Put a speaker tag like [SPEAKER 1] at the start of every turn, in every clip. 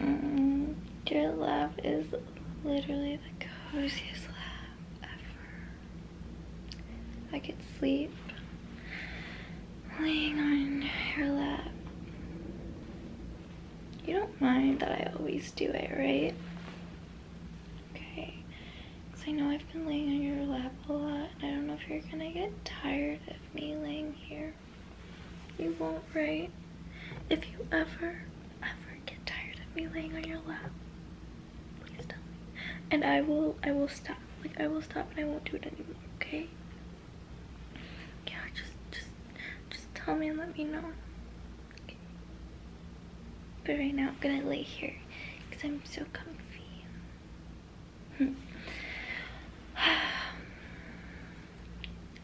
[SPEAKER 1] Mm, your laugh is literally the coziest love ever. I could sleep laying on your lap. You don't mind that I always do it, right? Okay. Because I know I've been laying on your lap a lot, and I don't know if you're gonna get tired of me laying here. You won't, right? If you ever, ever get tired of me laying on your lap, please tell me. And I will, I will stop. Like, I will stop and I won't do it anymore, okay? Yeah, just, just, just tell me and let me know. Okay. But right now, I'm gonna lay here because I'm so comfy.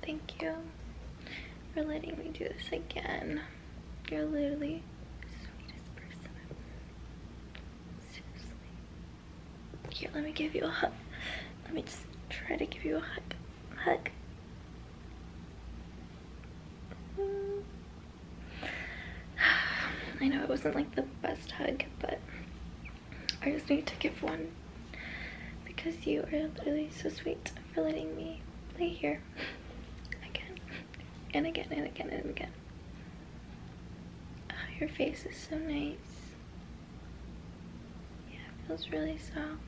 [SPEAKER 1] Thank you for letting me do this again. You're literally the sweetest person Here, let me give you a hug. Let me just try to give you a hug. Hug. I know it wasn't like the best hug, but I just need to give one because you are really so sweet for letting me play here again and again and again and again. Ah, your face is so nice. Yeah, feels really soft.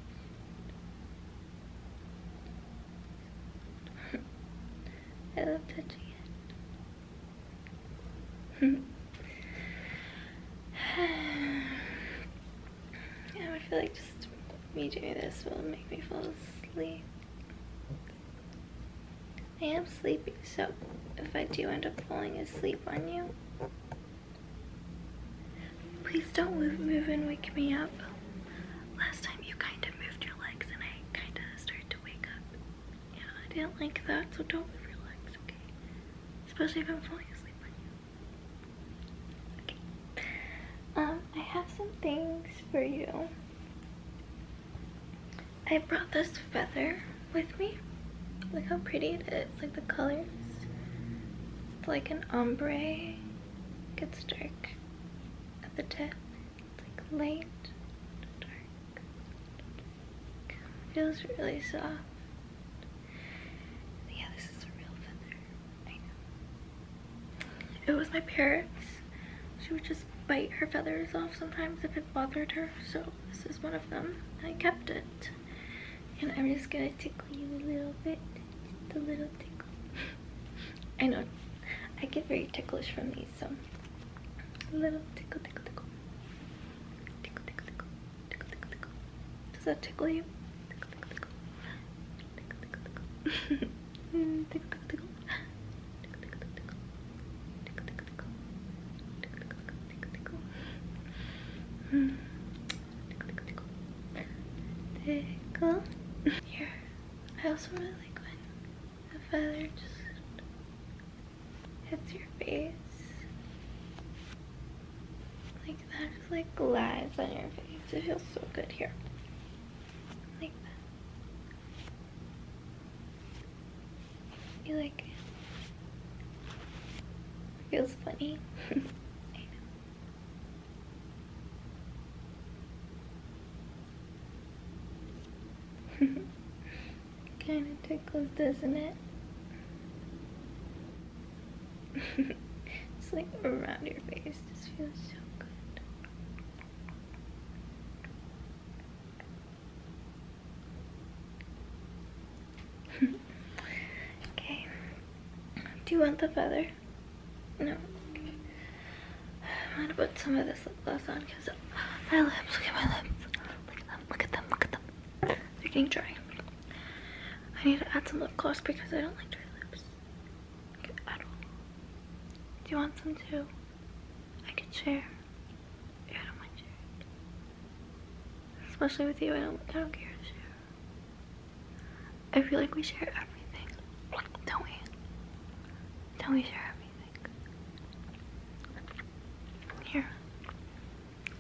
[SPEAKER 1] I love touching it. yeah, I feel like just me doing this will make me fall asleep. I am sleepy, so if I do end up falling asleep on you, please don't move, and wake me up. Last time you kind of moved your legs and I kind of started to wake up. Yeah, I didn't like that, so don't move your okay? Especially if I'm falling asleep on you. Okay. Um, I have some things for you. I brought this feather with me. Look how pretty it is, like the colors. It's like an ombre. It gets dark at the tip. It's like light, dark. Feels really soft. Yeah, this is a real feather. I know. It was my parents. She would just bite her feathers off sometimes if it bothered her. So this is one of them. I kept it. And I'm just gonna tickle you a little bit. Just a little tickle. I know. I get very ticklish from these, so. A little tickle, tickle, tickle. Tickle, tickle, tickle. Tickle, tickle, tickle. Does that tickle you? Tickle, tickle, tickle. Tickle, tickle, tickle. tickle, tickle, tickle. Tickle, tickle, tickle. Tickle, tickle, tickle. Tickle, tickle, tickle. Tickle, tickle, tickle. Tickle, tickle, tickle. Tickle. Here. I also really like when the feather just hits your face. Like that just like glides on your face. It feels so good here. Like that. You like Feels funny. Kind of tickles, doesn't it? it's like around your face. Just feels so good. okay. Do you want the feather? No. I'm gonna put some of this lip gloss on because my lips, look at my lips. Look at them, look at them, look at them. They're getting dry. I need to add some lip gloss because I don't like dry lips Do you want some too? I could share. Especially with you, I don't, care I feel like we share everything, don't we? Don't we share here.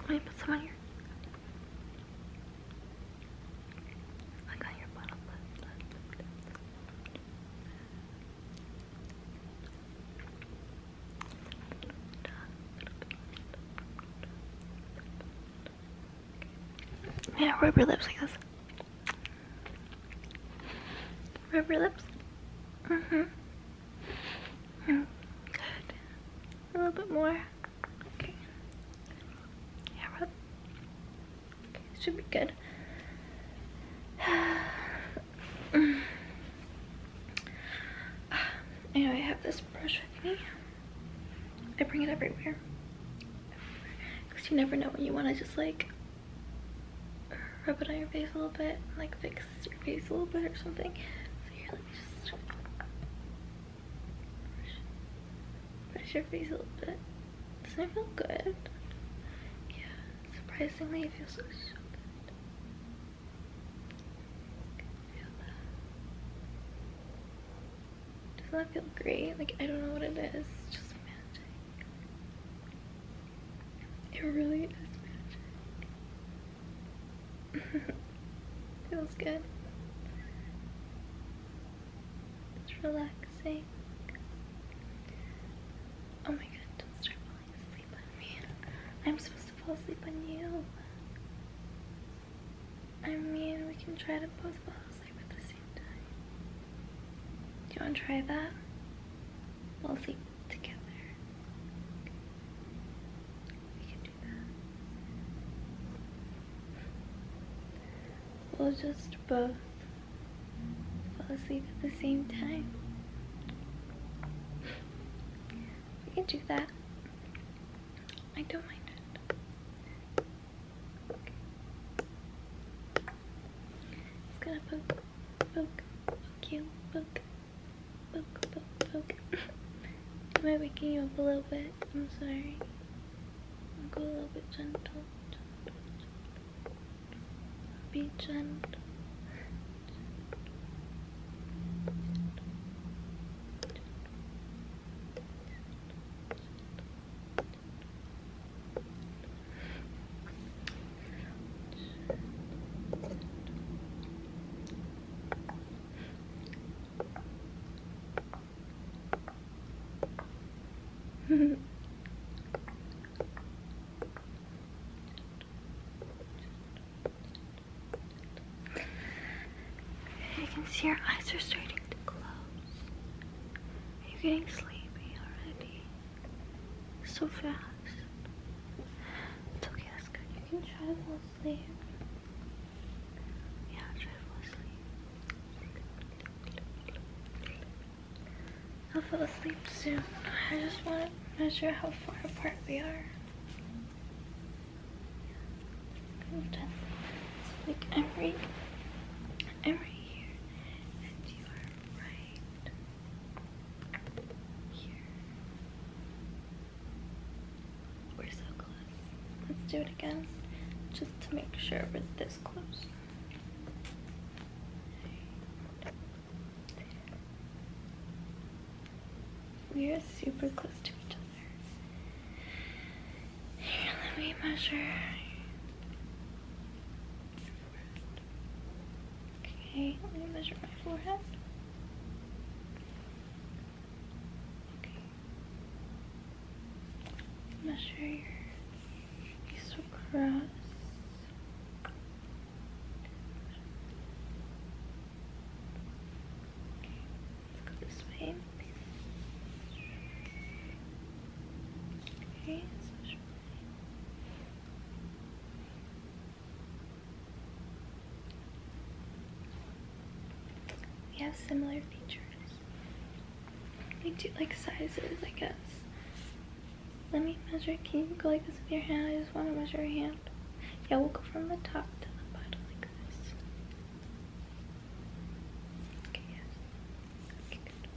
[SPEAKER 1] Let me put some on here. like on your bottom Yeah, rub your lips like this. Rub your lips. hmm Mm, good. A little bit more. Okay. Yeah, rub. should be good. I know I have this brush with me. I bring it everywhere. Because you never know what you want I just like rub it on your face a little bit and like fix fixes your face a little bit or something. So here, let me just brush, your face a little bit. Doesn't it feel good? Yeah, surprisingly it feels so, so good. Doesn't that feel great? Like, I don't know what it is. Just magic. It really is magic. Feels good. It's relaxing. Oh my god, don't start falling asleep on me. I'm supposed to fall asleep on you. I mean, we can try to both fall asleep at the same time. Do you want to try that? We'll see together. We can do that. We'll just both fall asleep at the same time. We can do that. I don't mind It's gonna poke, poke, poke you, poke. Poke, poke, poke. Am I waking you up a little bit? I'm sorry. I'll go a little bit gentle. Be gentle you can see your eyes are starting to close. Are you getting sleepy already so fast. It's okay, that's good. You can try to fall asleep. Yeah, try to fall asleep. I'll fall asleep soon. I just want to measure how far apart we are. like every, every year, and you are right. We're so close. Let's do it again, just to make sure we're this close. We are super close to each other. let me measure. Okay, let me measure my forehead. Okay. Measure your face across. Okay, let's go this way. Okay, so we have similar features. We do like sizes, I guess. Let me measure. Can you go like this with your hand? I just want to measure your hand. Yeah, we'll go from the top to the bottom like this. Okay, yes. Okay, good.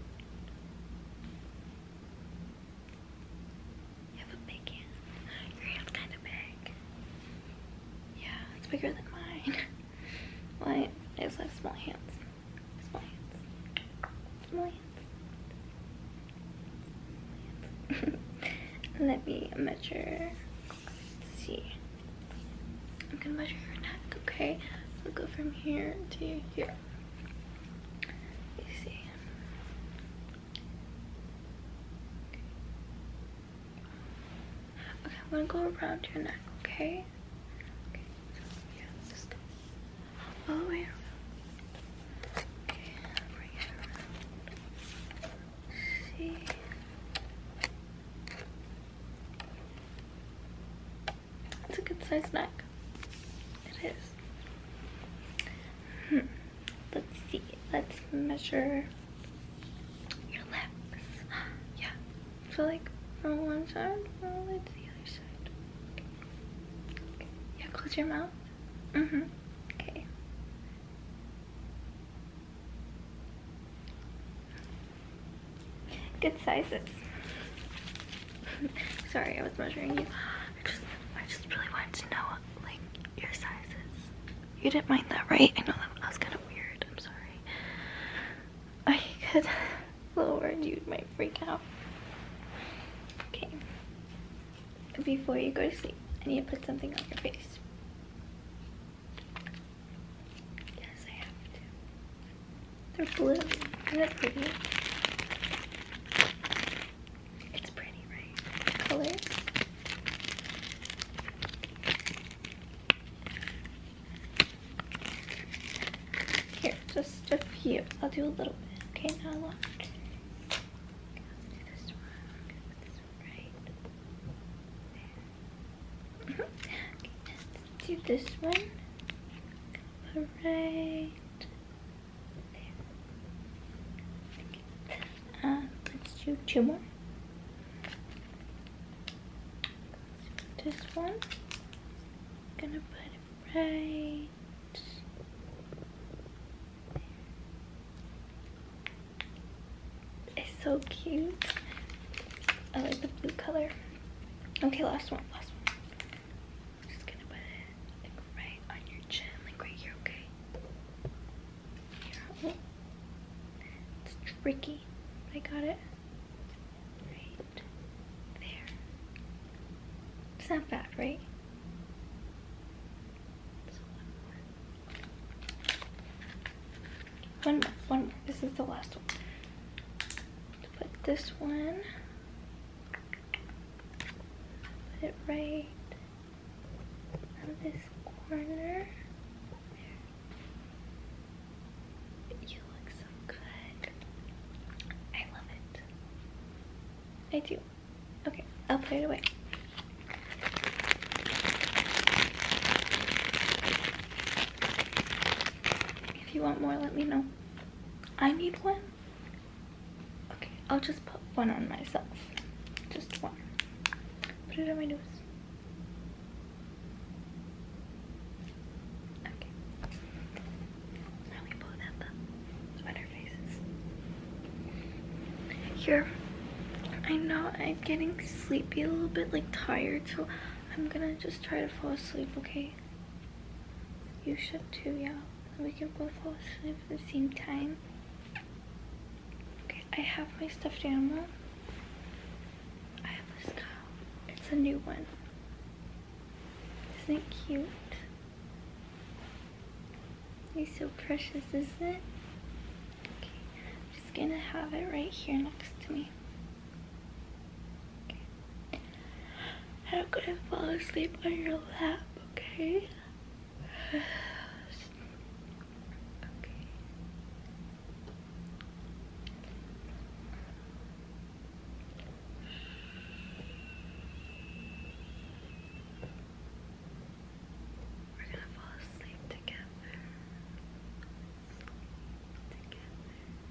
[SPEAKER 1] You have big hand. Your hand's kind of big. Yeah, it's bigger than mine. Why? I just have small hands. Small hands. Small hands. Let me measure. Let's see. I'm gonna measure your neck, okay? we'll go from here to here. Okay, I'm gonna go around your neck, okay? all the way around. See. It's a good sized neck. It is. Hmm. Let's see. Let's measure your lips. Yeah. So like from one side all the to the other side. Yeah, close your mouth. Mm-hmm. Okay. Good sizes. Sorry, I was measuring you. I just, really wanted to know, like, your sizes. You didn't mind that, right? I know that, was kind of weird. I'm sorry. I could lower and you might freak out. Okay. Before you go to sleep, I need to put something on your face. Yes, I have to. They're blue. Are not that pretty? It's pretty, right? The Here, just a few. I'll do a little bit. Okay, not a lot. do this one. i right do this one. All right let's do two more. This one, gonna put it right. It's so cute. I like the blue color. Okay, last one, last one just gonna put it like right on your chin, like right here, okay? Yeah. It's tricky, I got it. Right there. It's not bad, right? one One This is the last one. Put this one Put it right on this corner. You look so good. I love it. I do. Okay, I'll put it away. If you want more, let me know. I need one. Okay, I'll just put one on myself. Just one. Put it on my nose. Okay. Now we both have the sweater faces. Here. I know I'm getting sleepy a little bit, like tired, so I'm gonna just try to fall asleep, okay? You should too, yeah we can both fall asleep at the same time. Okay, I have my stuffed animal. I have this cow. It's a new one. Isn't it cute? He's so precious, isn't it? Okay, I'm just gonna have it right here next to me. I'm gonna fall asleep on your lap, okay? We're gonna fall asleep Together.